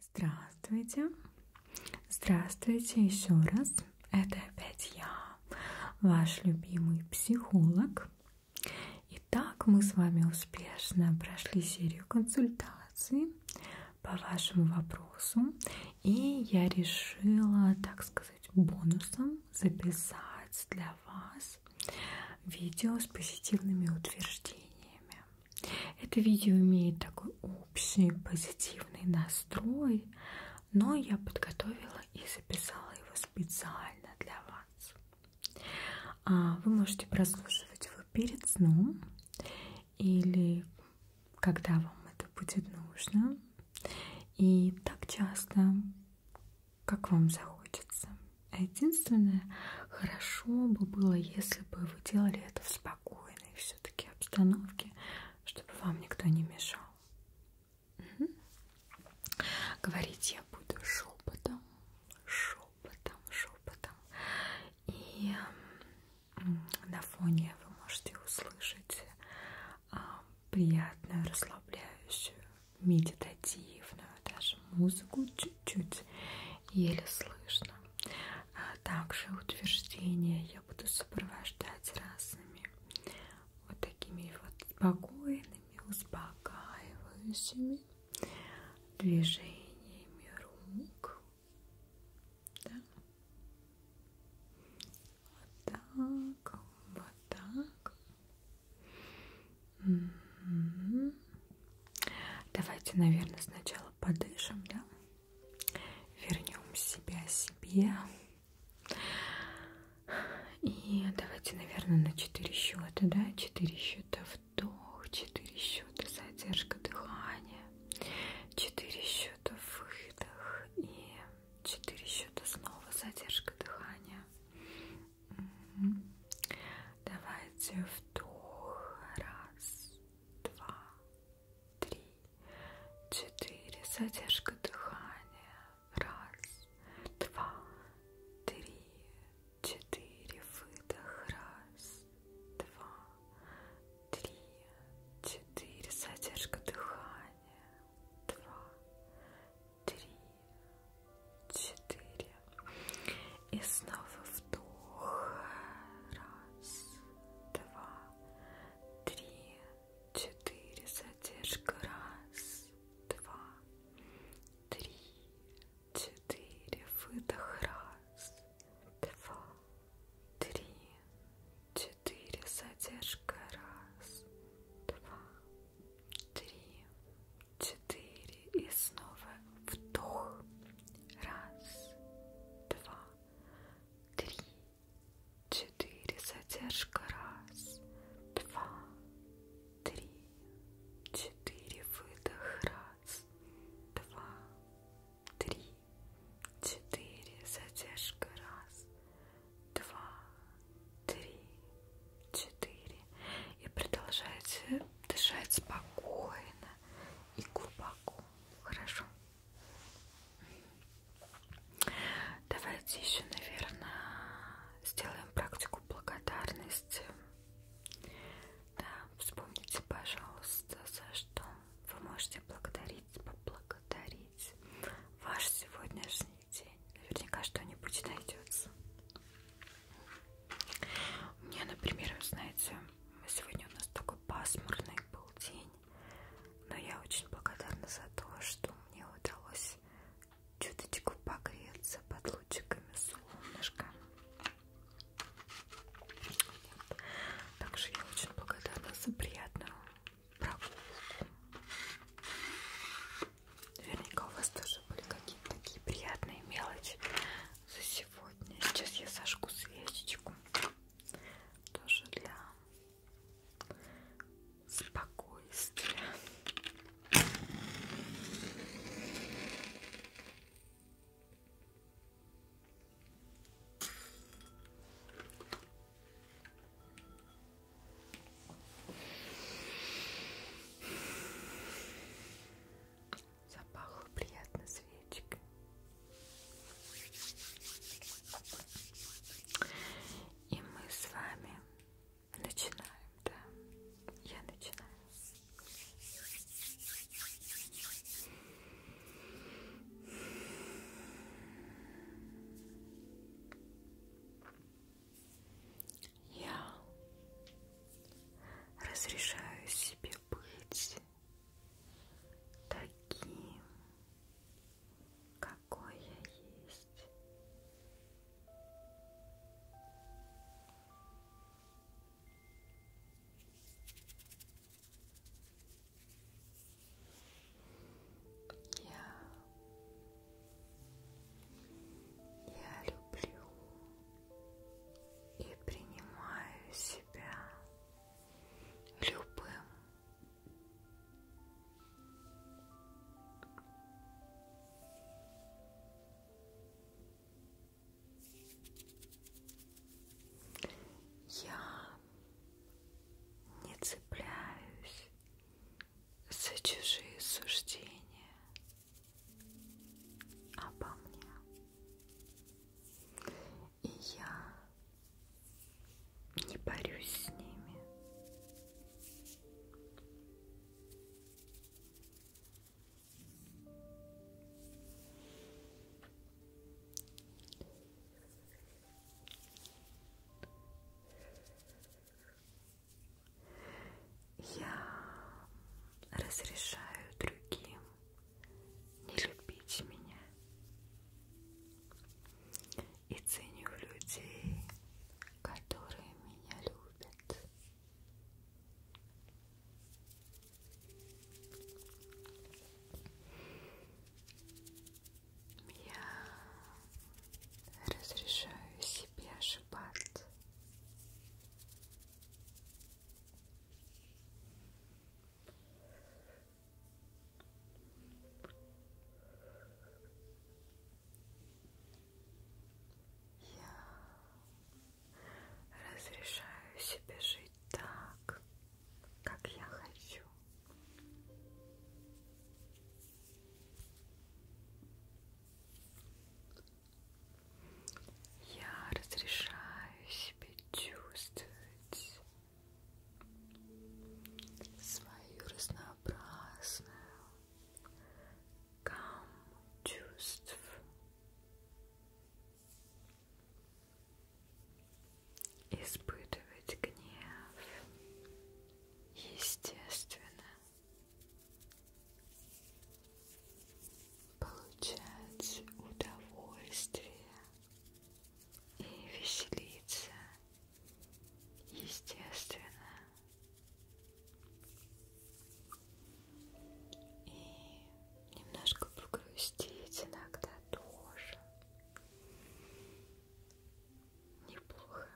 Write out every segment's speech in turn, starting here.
Здравствуйте. Здравствуйте еще раз. Это опять я, ваш любимый психолог. Итак, мы с вами успешно прошли серию консультаций по вашему вопросу. И я решила, так сказать, бонусом записать для вас вас видео с позитивными утверждениями. Это видео имеет такой общий позитивный настрой, но я подготовила и записала его специально для вас. А, вы можете прослушивать его перед сном или когда вам это будет нужно. И так часто как вам захочется. А единственное, хорошо бы было, если бы вы делали это в спокойной все-таки обстановке, чтобы вам никто не мешал. Угу. Говорить я буду шепотом, шепотом, шепотом. И на фоне вы можете услышать а, приятную расслабляющую медитативную даже музыку чуть-чуть еле слышно. А также утверждения я буду сопровождать разными вот такими вот спокойными, успокаивающими движениями рук. Да? Вот так, вот так, Давайте, наверное, сначала подышим, да? Вернем себя себе. И давайте, наверное, на 4 счета, да? 4 счета вдох, 4 счета задержка дыхания, 4 счета выдох и 4 счета снова задержка дыхания. Угу. Давайте вдох. Раз, два, три, четыре. Задержка дыхания. Раз, два, три, четыре. Выдох. Раз, два, три, четыре. Задержка дыхания. Два, три, четыре. И снова вдох. Раз, два, три, четыре. Задержка. Раз, два, три, четыре. Выдох. Раз, два, три, четыре. Задержка. Раз, два, три, четыре и снова вдох. Раз, два, три, четыре. Задержка. Раз, два, три, четыре. Выдох. Раз, два, три, четыре. Задержка. Раз, два, три, четыре. И продолжайте дышать спокойно и глубоко. Хорошо. Давайте еще, наверное, сделаем практику благодарности. Да, вспомните, пожалуйста, за что вы можете благодарить, поблагодарить ваш сегодняшний день. Наверняка что-нибудь найдется. У меня, например, вы знаете, сегодня у нас такой пасмурный был день, но я очень благодарна за то, что мне удалось чуточку погреться под лучиками солнышка. Также я очень благодарна за приятную прогулку. Наверняка у вас тоже были какие-то такие приятные мелочи за сегодня. Сейчас я сожгу свечечку. Тоже для спокойствия. Запахло приятно свечкой. И мы с вами начинаем, да? Я начинаю. Я разрешаю себе быть таким, какой я есть. Я я, я люблю и принимаю себя любым. Я не цепляюсь за чужие суждения обо мне. И я не борюсь с ними. Я разрешаю другим не любить меня и ценю людей, которые меня любят. Я разрешаю себе ошибаться. Я разрешаю себе жить так, как я хочу. Я разрешаю себе чувствовать свою разнообразную гамму чувств. Испытывать гнев естественно. Получать удовольствие и веселиться естественно. И немножко погрустить иногда тоже Неплохо.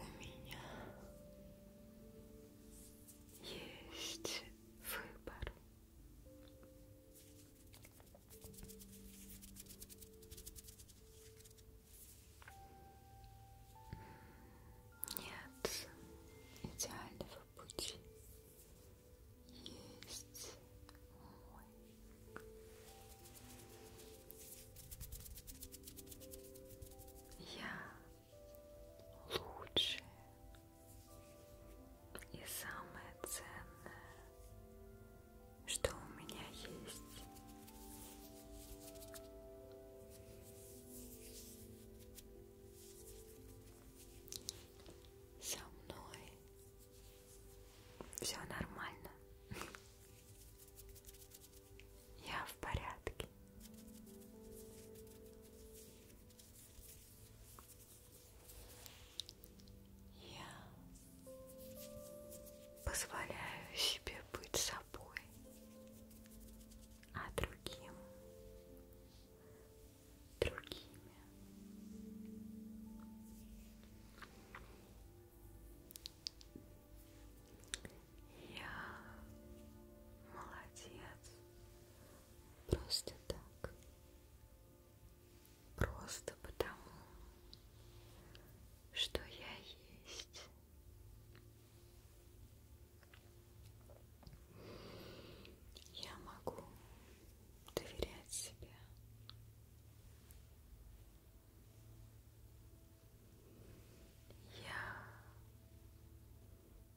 У меня есть выбор. Нет идеального пути. Есть мой. Я лучшее и самое ценное, что у меня есть со мной все нормально я в порядке я позволяю себе быть собой собой, а другим другими. Я молодец. Просто так. Просто потому, что я есть. Я могу доверять себе. Я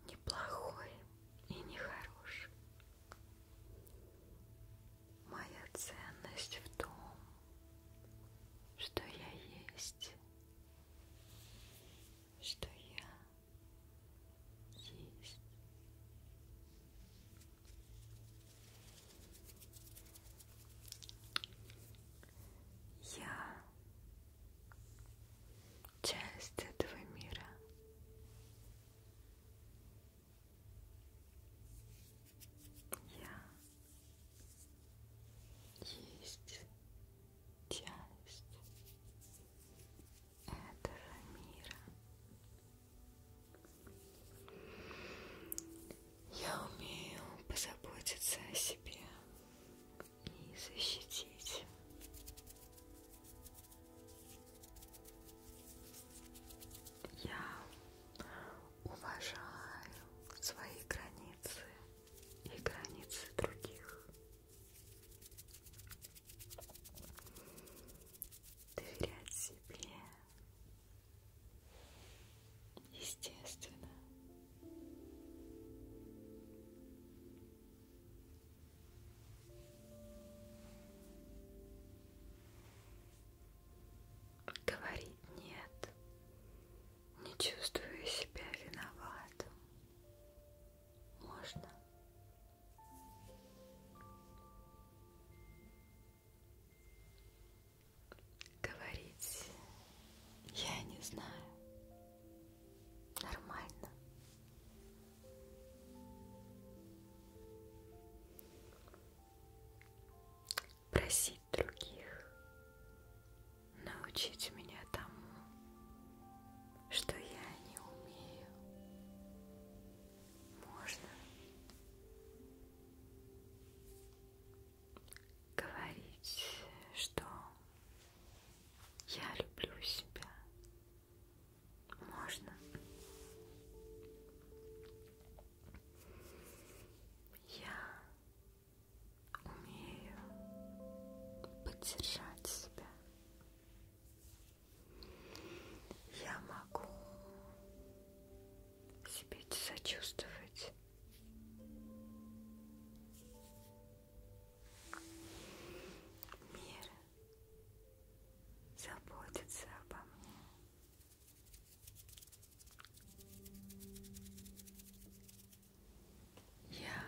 неплохой и нехороший. Моя ценность в том, что я есть что я есть. Я часть этого мира. Я есть часть этого мира. Я умею позаботиться о себе и защитить. Я уважаю свои границы и границы других. Доверять себе естественно. Говорить нет не чувствую себя виноватым. Можно? Говорить я не знаю. Нормально. Проси любить других, научить меня тому, что я не умею. Можно говорить, что я люблю себя. Можно. Я умею поддержать себя. Я могу себе сочувствовать. Мир заботится обо мне. Я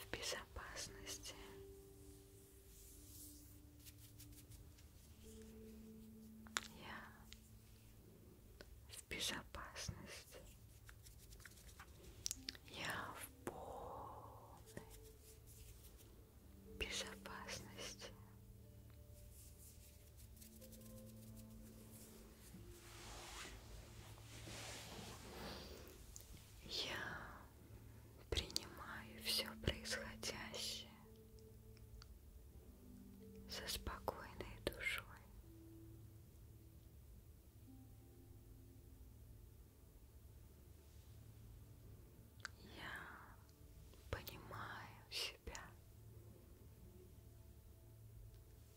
в безопасности. Я в безопасности. Я в полной безопасности. Я принимаю все происходящее со спокойной душой. Я понимаю себя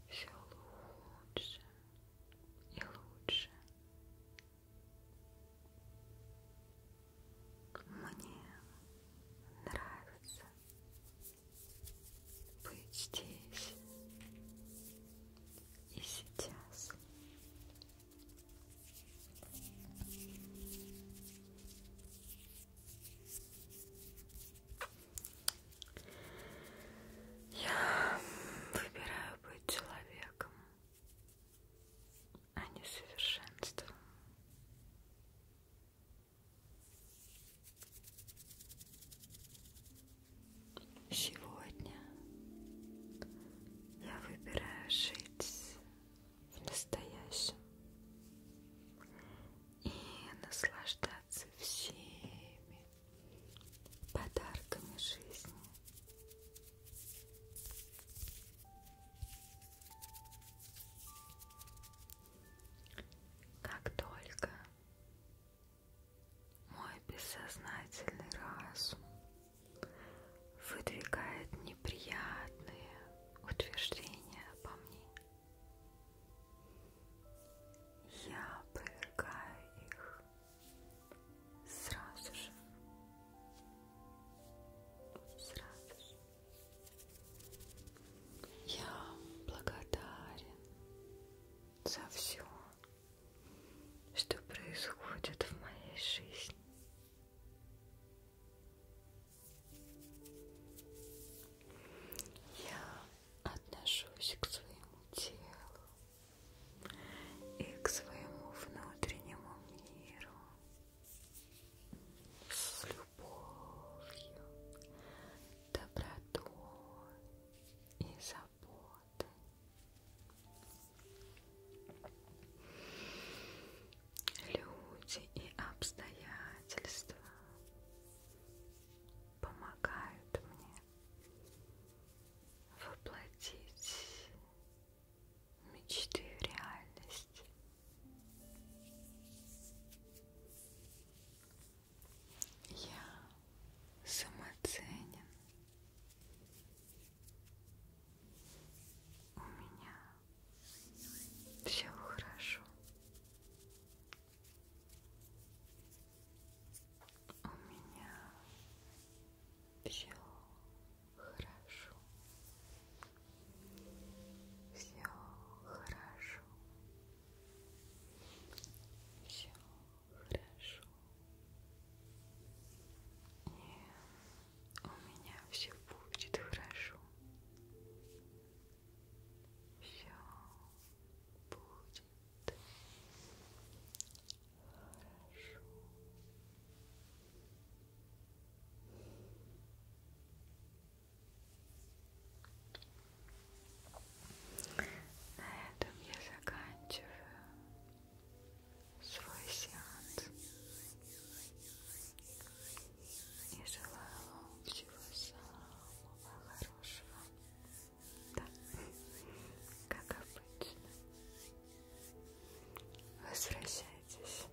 все лучше и лучше. Мне нравится быть здесь и сейчас. Я выбираю быть человеком, а не совершенством. Сегодня я выбираю жить в настоящем и наслаждаться всеми подарками жизни. Как только мой бессознательный разум выдвигает неприятные утверждения обо мне. Я повергаю их сразу же. Сразу же. Я благодарен за все, что происходит в моей жизни. Я отношусь к своему телу и к своему внутреннему миру с любовью, добротой и заботой. Люди и обстоятельства помогают мне воплотить мечты в реальность. Я самоценен у меня все хорошо. У меня все хорошо. Все хорошо. Все хорошо. И у меня все будет хорошо. Все будет хорошо. На этом я заканчиваю свой сеанс. И желаю вам всего самого хорошего. Да, как обычно. Возвращайтесь.